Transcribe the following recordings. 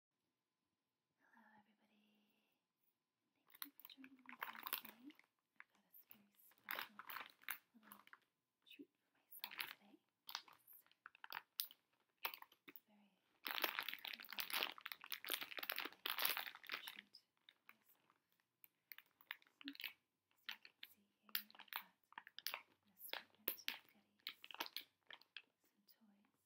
Hello, everybody. Thank you for joining me today. I've got a very special little treat for myself today. It's very treat for myself. as you can see here, I've got an assortment of goodies, some toys.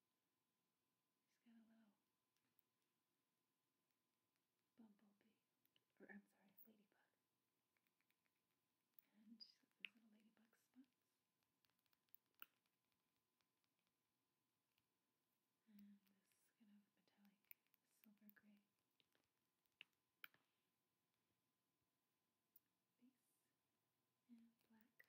He's got a little bumblebee, or I'm sorry, ladybug. And she's got these little ladybug spots. And this kind of metallic silver gray face and black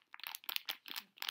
There's a little cactus, guys.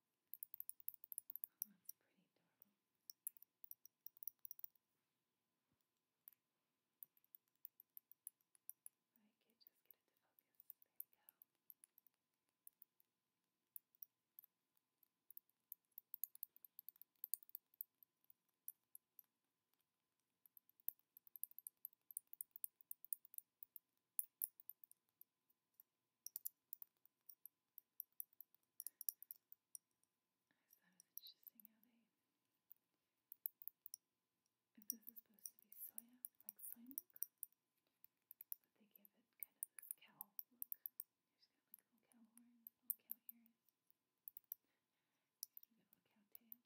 Oh, that's pretty adorable. I could just get it to focus. There we go. I thought it was interesting how they. If this is supposed to be soya, like soy milk, but they give it kind of this cow look. She's got like little cow horns, little cow ears. She's got a little cow tail. I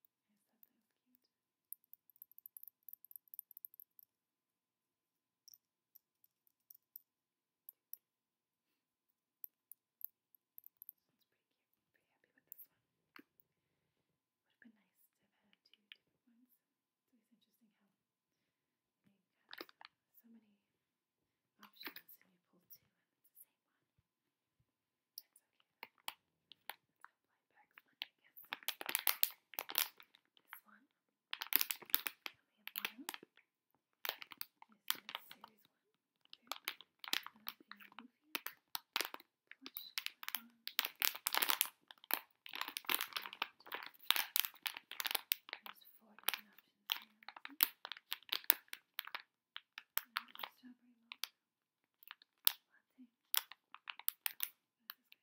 just thought that was cute. This pretty cute. Pretty happy with this one. Would have been nice to have had two different ones. It's always interesting how so many options and you pull two and it's the same one. That's okay my bags when I get This one. I only have one. This is series one. There. Plush one. There's four different options here. And strawberry milk latte. This is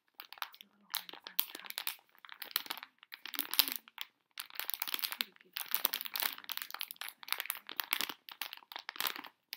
It's a little hard to find out. Pretty good. Very shiny, kind of light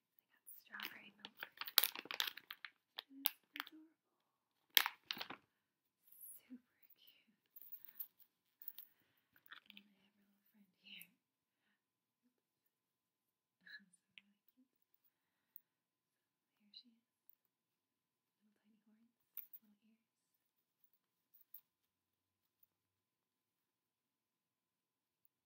I got strawberry milk, Super cute. And little friend here. so cute. here she is. Little tiny horns, little ears.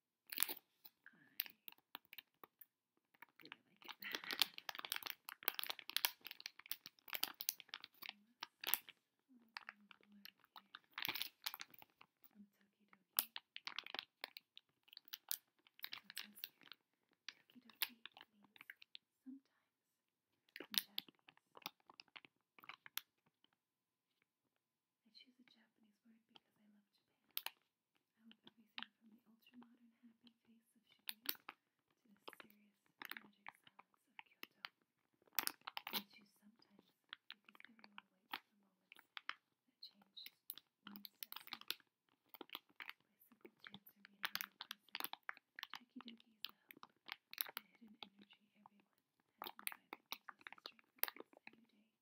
I really like it. From Toki Doki. So it says here, Toki Doki means sometimes in Japanese. I choose a Japanese word because I love Japan. I love everything from the ultra-modern happy face of Shibuya to the serious magic silence of Kyoto. I choose sometimes because everyone waits for moments that change one step. By simple chance or meeting is a the hidden energy everyone has inside gives us strength to a new day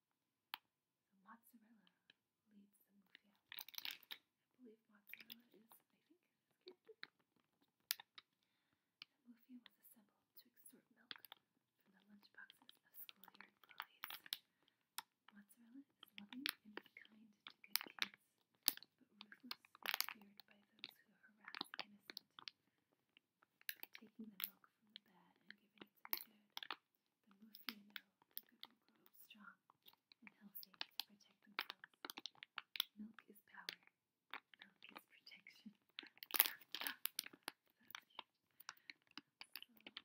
So mozzarella leads the movie out. I believe mozzarella is, I think, his character. The movie was assembled to extort milk from the lunchboxes of schoolyard bullies. Mozzarella is loving and kind to good kids, but ruthless and feared by those who harass the innocent taking the milk from the bad and giving it to the good. The Mufia know the good will grow strong and healthy to protect themselves. Milk is power. Milk is protection. Thank you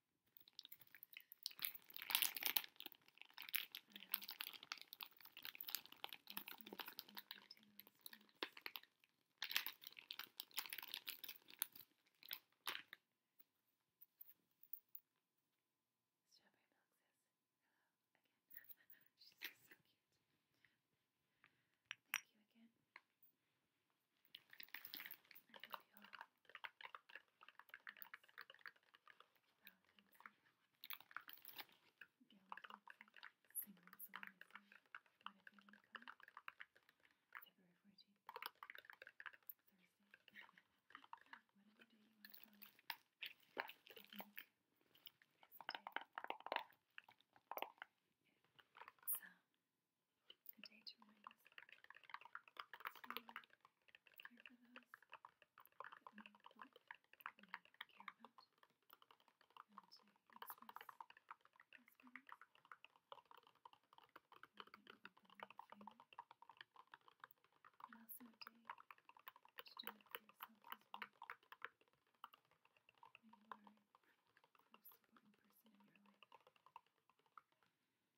Strawberry milk says hello again. She's just so cute. Thank you again. I can feel this Valentine's Day. Valentine's Day. Single Solidify. Got a feeling coming. February 14th. Thursday. Whatever day you want to try. I think this day. It sounds a day to remind to care for those that uh, care about, uh, uh, and to express those And also to do it for yourself as well. When you are the most important person in your life.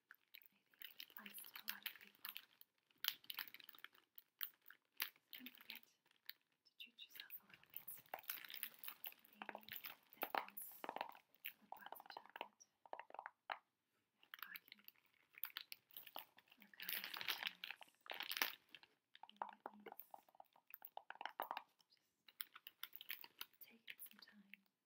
it applies to a lot of people. Don't forget to treat yourself a little bit. Maybe that means little box of chocolate, hockey, or conversations. Maybe that means just taking some time.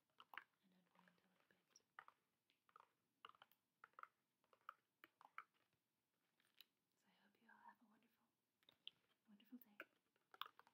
and So I hope you all have a wonderful, wonderful day, no matter what day of the year it is. Take care. Goodbye.